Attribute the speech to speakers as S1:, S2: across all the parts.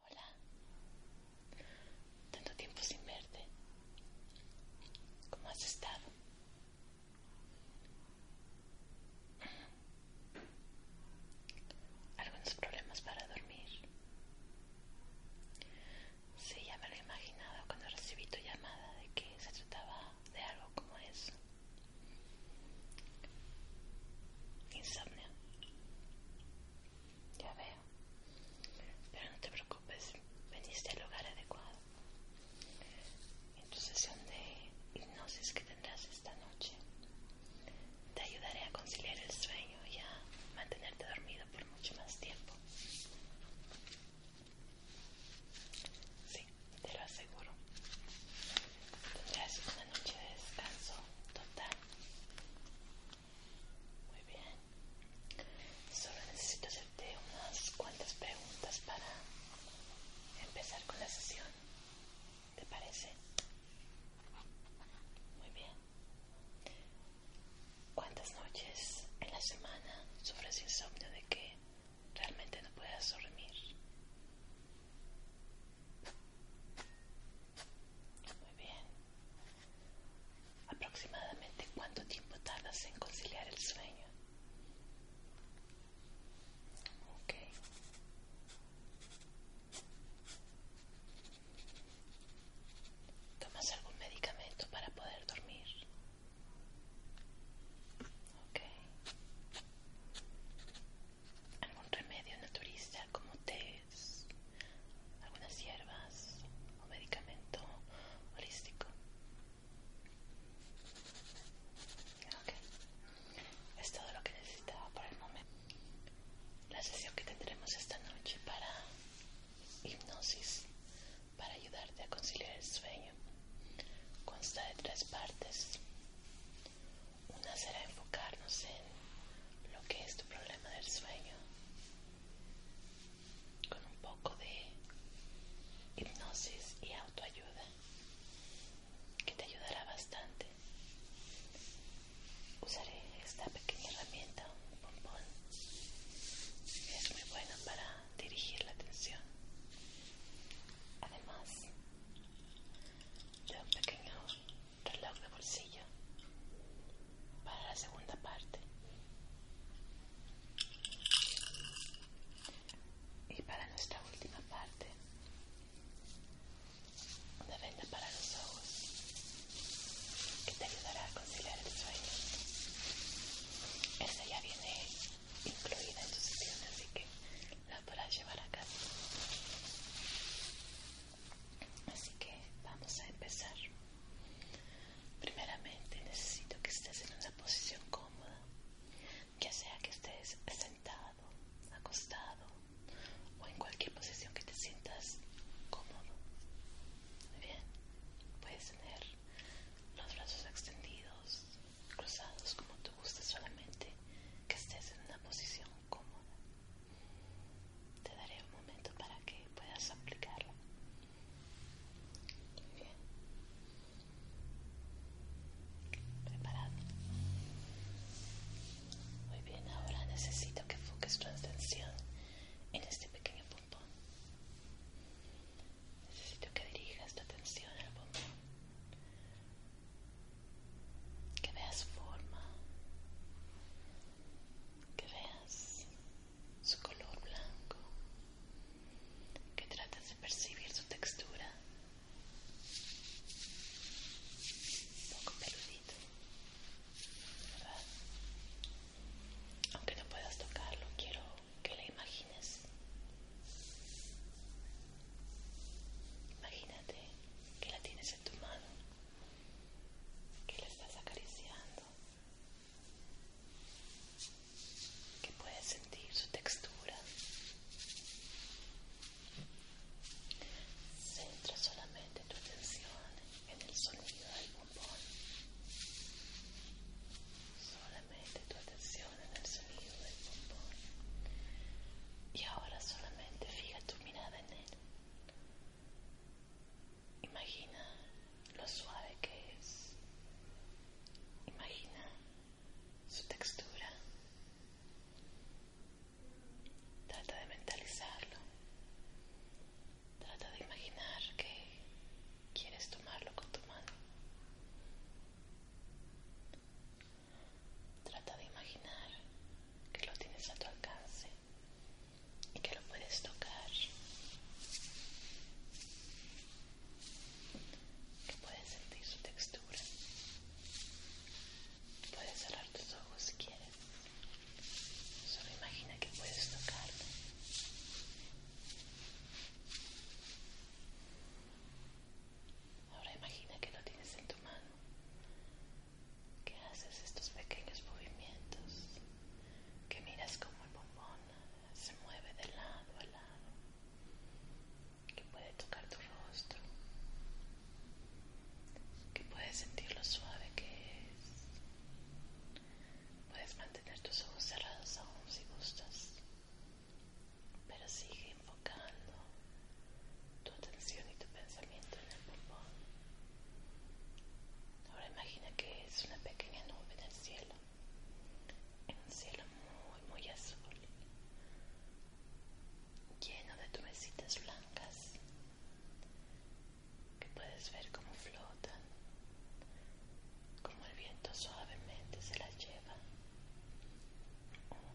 S1: Hola. Tanto tiempo sin verte. ¿Cómo has estado? Algunos problemas para dormir. Sí, ya me lo imaginado cuando recibí tu llamada de que se trataba de algo como eso. Insomnio. Ya veo. Pero no te preocupes, veniste al lugar adecuado. En tu sesión de hipnosis que tendrás esta noche, te ayudaré a conciliar el sueño y a mantenerte dormido por mucho más tiempo. Sí te lo aseguro. es una noche de descanso total. Muy bien. Solo necesito hacerte unas cuantas preguntas para empezar con la sesión. ¿Te parece? Muy bien. ¿Cuántas noches en la semana sufres insomnio? ¿De qué realmente no puedes dormir. Muy bien. ¿Aproximadamente cuánto tiempo tardas en conciliar el sueño? Ok. ¿Tomas algún medicamento para poder dormir? Ok algún remedio naturista como té, algunas hierbas o medicamento holístico. Ok, es todo lo que necesitaba por el momento. La sesión que tendremos esta noche para hipnosis, para ayudarte a conciliar el sueño, consta de tres partes. Una será enfocarnos en lo que es tu problema del sueño con un poco de hipnosis y autoayuda que te ayudará bastante. Usaré esta pequeña herramienta, un pompón. Es muy buena para dirigir la atención. Además, de un pequeño reloj de bolsillo para la segunda parte y para nuestra última parte una venda para los ojos que te ayudará a conciliar el sueño esta ya viene incluida en tu sección así que la podrás llevar a casa. Así que vamos a empezar. Primeramente necesito que estés en una posición cómoda, ya sea que estés sentado, acostado o en cualquier posición que te sientas cómodo. Muy bien, puedes tener los brazos extendidos cruzados como te guste, solamente que estés en una posición cómoda. Te daré un momento para que puedas aplicarlo. Muy bien. Preparado. Muy bien, ahora necesito que enfoques tu atención en este pequeño pompón. Necesito que dirijas tu atención al pompón que veas forma, que veas su color blanco, que trates de percibir su textura, un poco peludito, ¿verdad? Aunque no puedas tocarlo, quiero que la imagines. Imagínate que la tienes en tu mano, que la estás acariciando, que puedes sentir su textura. Centra solamente tu atención en el sonido del bombón. Solamente tu atención en el sonido del Y ahora solamente fija tu mirada en él. Imagina lo suave que es. Imagina su textura. Trata de mentalizarlo. Trata de imaginar que quieres tomarlo con tu mano. Trata de imaginar que lo tienes a tu alcance y que lo puedes tocar, que puedes sentir su textura. Puedes cerrar tus ojos si quieres. Solo imagina que puedes tocarlo. Ahora imagina que lo tienes en tu mano, que haces estos pequeños movimientos, que miras cómo el bombón se mueve de lado a lado, que puede tocar tu rostro, que puedes sentir lo suave que es. Puedes mantener tus ojos cerrados aún si gustas, pero sigue enfocando tu atención y tu pensamiento en el pulmón. Ahora imagina que es una pequeña nube en el cielo, en un cielo muy, muy azul, lleno de tumecitas blancas que puedes ver cómo flotan, como el viento suavemente se las lleva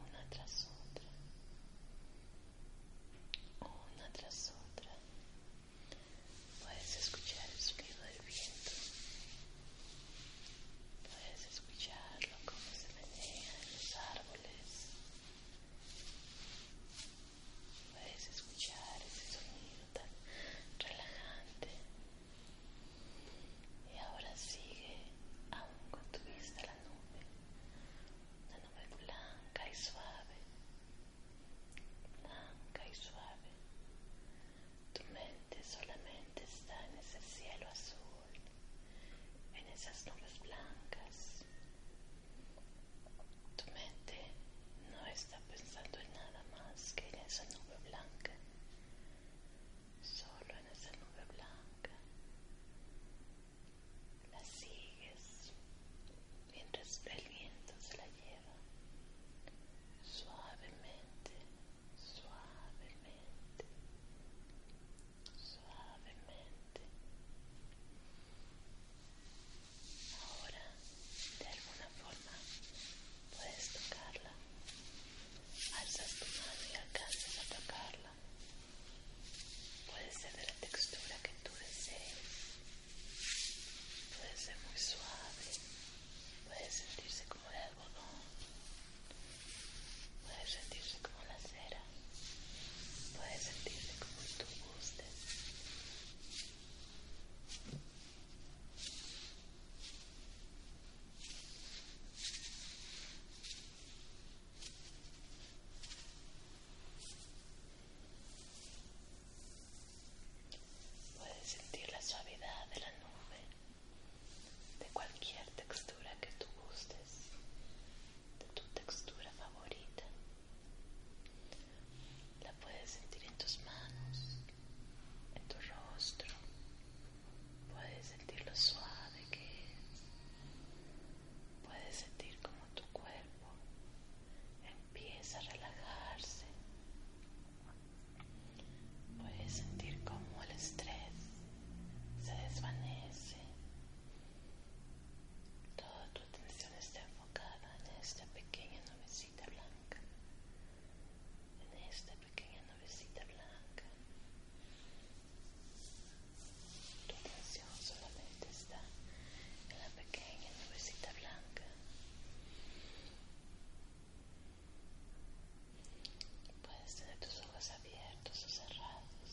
S1: una tras otra una tras otra. Puedes escuchar el sonido del viento. Puedes escucharlo como se maneja en los árboles. Puedes escuchar ese sonido tan relajante. Y ahora sigue aún con tu vista nube, una nube blanca y suave, blanca y suave. Tu mente solamente está en ese cielo azul, en esas nubes blancas. Tu mente no está pensando en nada más que en esa nube blanca, solo en esa nube blanca la sigues mientras el viento se la lleva suavemente, suavemente, suavemente. Ahora, de alguna forma, puedes tocarla. Alzas tu mano y alcanza a tocarla. Puede ser de la textura que tú desees. Puede ser muy suave. Puede sentirse como el algodón. Puede sentirse como la cera. Puede sentirse como tú guste. Puedes sentir la suavidad de la nube, de cualquier textura que tú gustes, de tu textura favorita. La puedes sentir en tus manos, en tu rostro. Puedes sentir lo suave que es. Puedes sentir cómo tu cuerpo empieza a relajarse. Puedes sentir cómo el estrés se desvanece. Toda tu atención está enfocada en esta pequeña nubecita blanca. En esta pequeña nubecita blanca tu atención solamente está en la pequeña nubecita blanca. Puedes tener tus ojos abiertos o cerrados,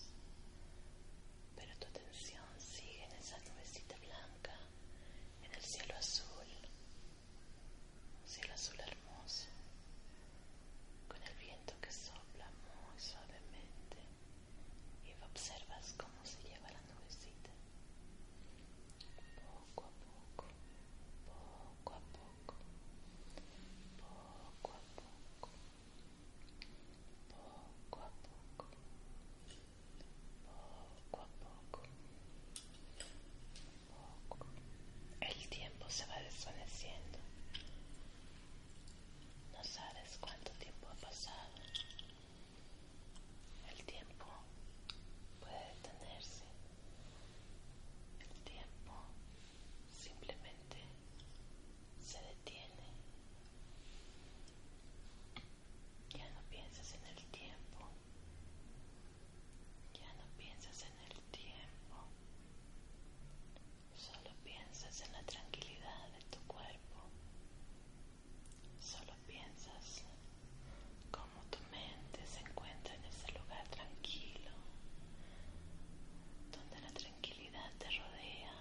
S1: pero tu atención sigue en esa nubecita blanca, en el cielo azul, un cielo azul hermoso, con el viento que sopla muy suavemente y observas cómo se lleva la nubecita poco a poco, poco a poco, poco a poco, poco a poco, poco a poco, poco. El tiempo se va desvaneciendo no sabes cuánto tiempo ha pasado. El tiempo puede detenerse. El tiempo simplemente se detiene. Ya no piensas en el tiempo. Ya no piensas en el tiempo. Solo piensas en la tranquilidad de tu cuerpo. Solo piensas cómo tu mente se encuentra en ese lugar tranquilo, donde la tranquilidad te rodea.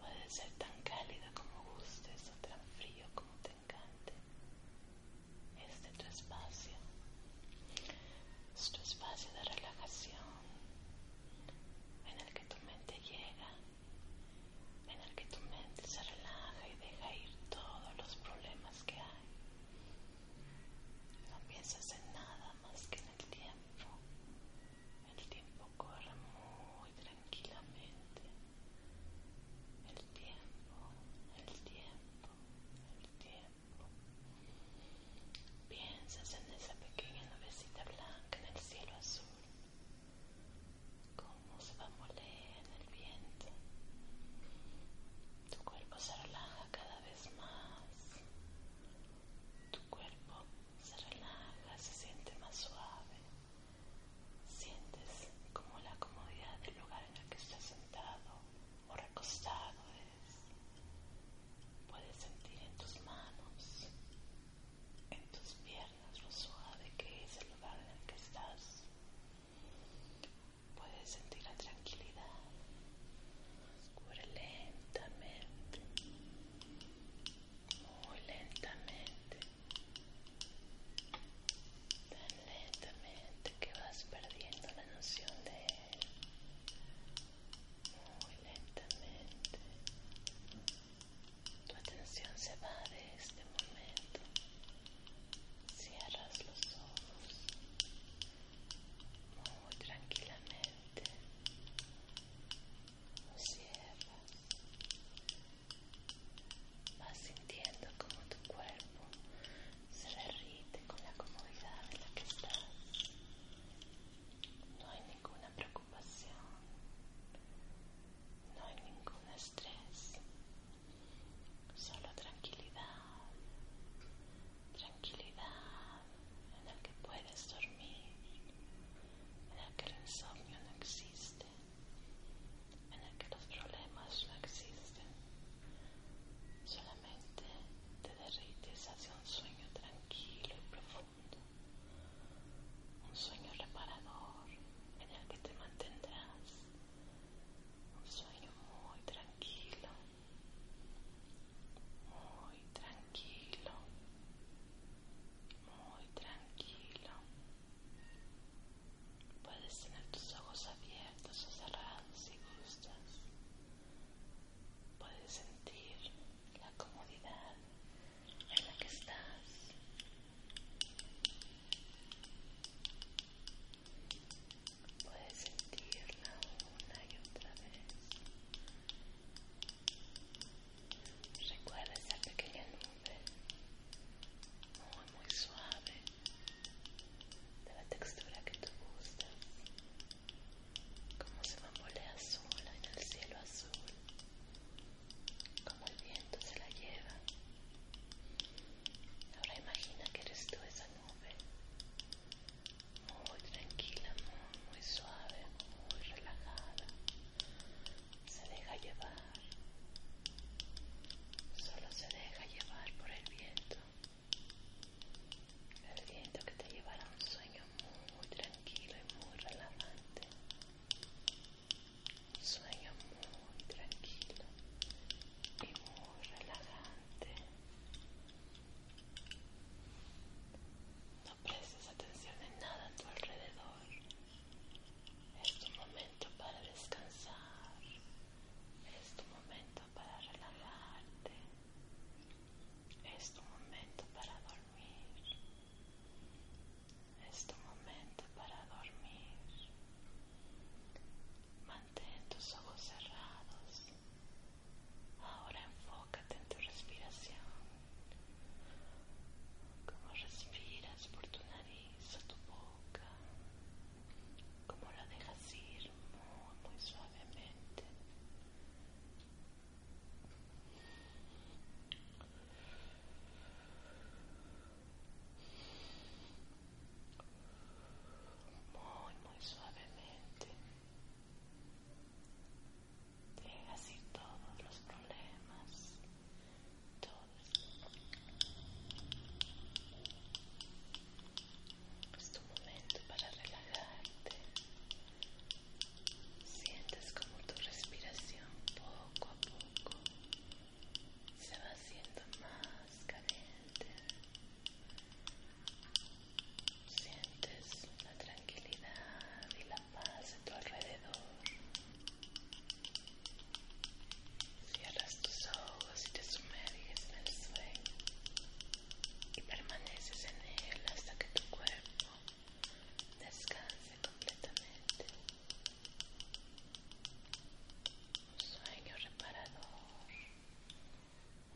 S1: Puede ser tan cálida como gustes o tan frío como te encante. Este es tu espacio. Es tu espacio de relajación en el que tu mente llega, en el que tu mente se relaja y deja ir todos los problemas que hay. No piensas en nada más que en el tiempo. El tiempo corre muy tranquilamente. El tiempo, el tiempo, el tiempo. Piensas en esa pequeña nubecita blanca en el cielo azul, cómo se moler en el viento. Tu cuerpo se relaja cada vez más. Tu cuerpo se relaja, se siente más suave. Sientes como la comodidad del lugar en el que estás sentado o recostado es. Puedes sentir en tus manos en tus piernas, lo suave que es el lugar en el que estás. Puedes sentir la tranquilidad. lentamente, muy lentamente, tan lentamente que vas perdiendo la noción de él muy lentamente. Tu atención se va de este momento. Cierras los ojos muy tranquilamente. lo cierras.
S2: Vas sintiendo como tu cuerpo se derrite con la comodidad en la que estás. No hay ninguna
S1: preocupación, no hay ningún estrés, solo tranquilidad, tranquilidad en el que puedes dormir, en el que el insomnio no existe, en el que los problemas no existen, solamente te derrites hacia un sueño tranquilo y profundo un sueño reparador en el que te mantendrás, un sueño muy tranquilo, muy tranquilo, muy tranquilo. Puedes tener tus ojos abiertos o cerrados si gustas. Puedes sentir la comodidad en la que estás. Puedes sentirla una y otra vez. Recuerda esa pequeña nube muy muy suave de la textura que tú gustas como se bambolea azul en el cielo azul como el viento se la lleva. Ahora imagina que eres tú esa nube, muy tranquila, muy, suave, muy relajada. Se deja llevar, solo se deja llevar por el viento. El viento que te llevará a un sueño muy tranquilo y muy relajante. Sueño muy tranquilo y muy relajante. No prestes atención en nada a tu alrededor. Es tu momento para descansar. Es tu momento para relajarte. Es tu momento para dormir. Es este tu momento para dormir. Mantén tus ojos cerrados. Ahora enfócate en tu respiración. como respiras por tu nariz o tu boca. como la dejas ir muy suavemente. Muy, muy suavemente. Deja así todos los problemas. Todos. Es tu momento para relajarte. Sientes como tu respiración poco a poco se va haciendo más caliente. Sientes la tranquilidad y la paz a tu alrededor. Cierras tus ojos y te sumerges en el sueño y permaneces en él hasta que tu cuerpo descanse completamente un sueño reparador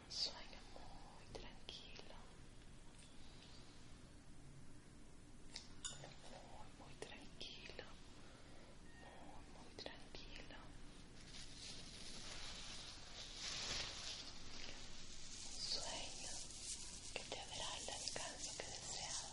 S1: un sueño muy tranquilo muy muy tranquilo muy muy tranquilo un sueño que te dará el descanso que deseas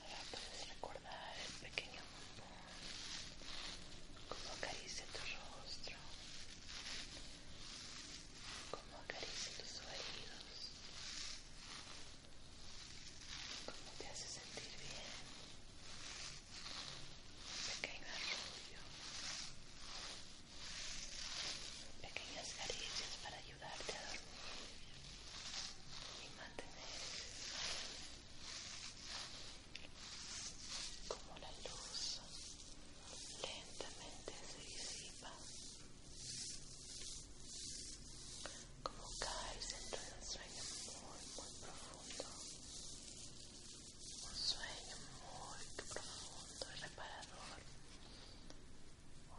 S1: Ahora puedes recordar el pequeño amor cómo acaricia tu rostro, cómo acaricia tus oídos, cómo te hace sentir bien. Un pequeño arroyo, pequeñas caricias para ayudarte a dormir y mantener como la luz lentamente se disipa como caes dentro de un sueño muy muy profundo un sueño muy profundo y reparador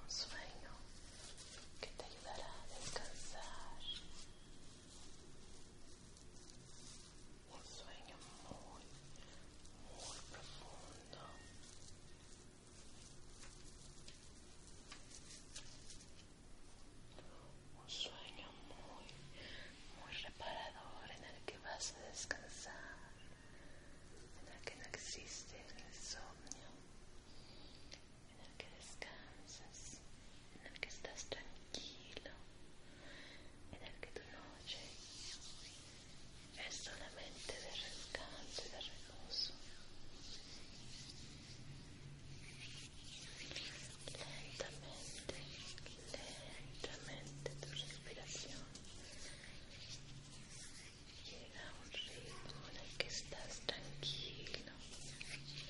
S1: un sueño que te ayudará a descansar. Un sueño muy, muy profundo. Un sueño muy, muy reparador en el que vas a descansar, en el que no existe el insomnio, en el que descansas, en el que estás tranquilo, en el que tu noche es solamente de descanso y de reposo. Lentamente, lentamente tu respiración llega un ritmo en el que estás tranquilo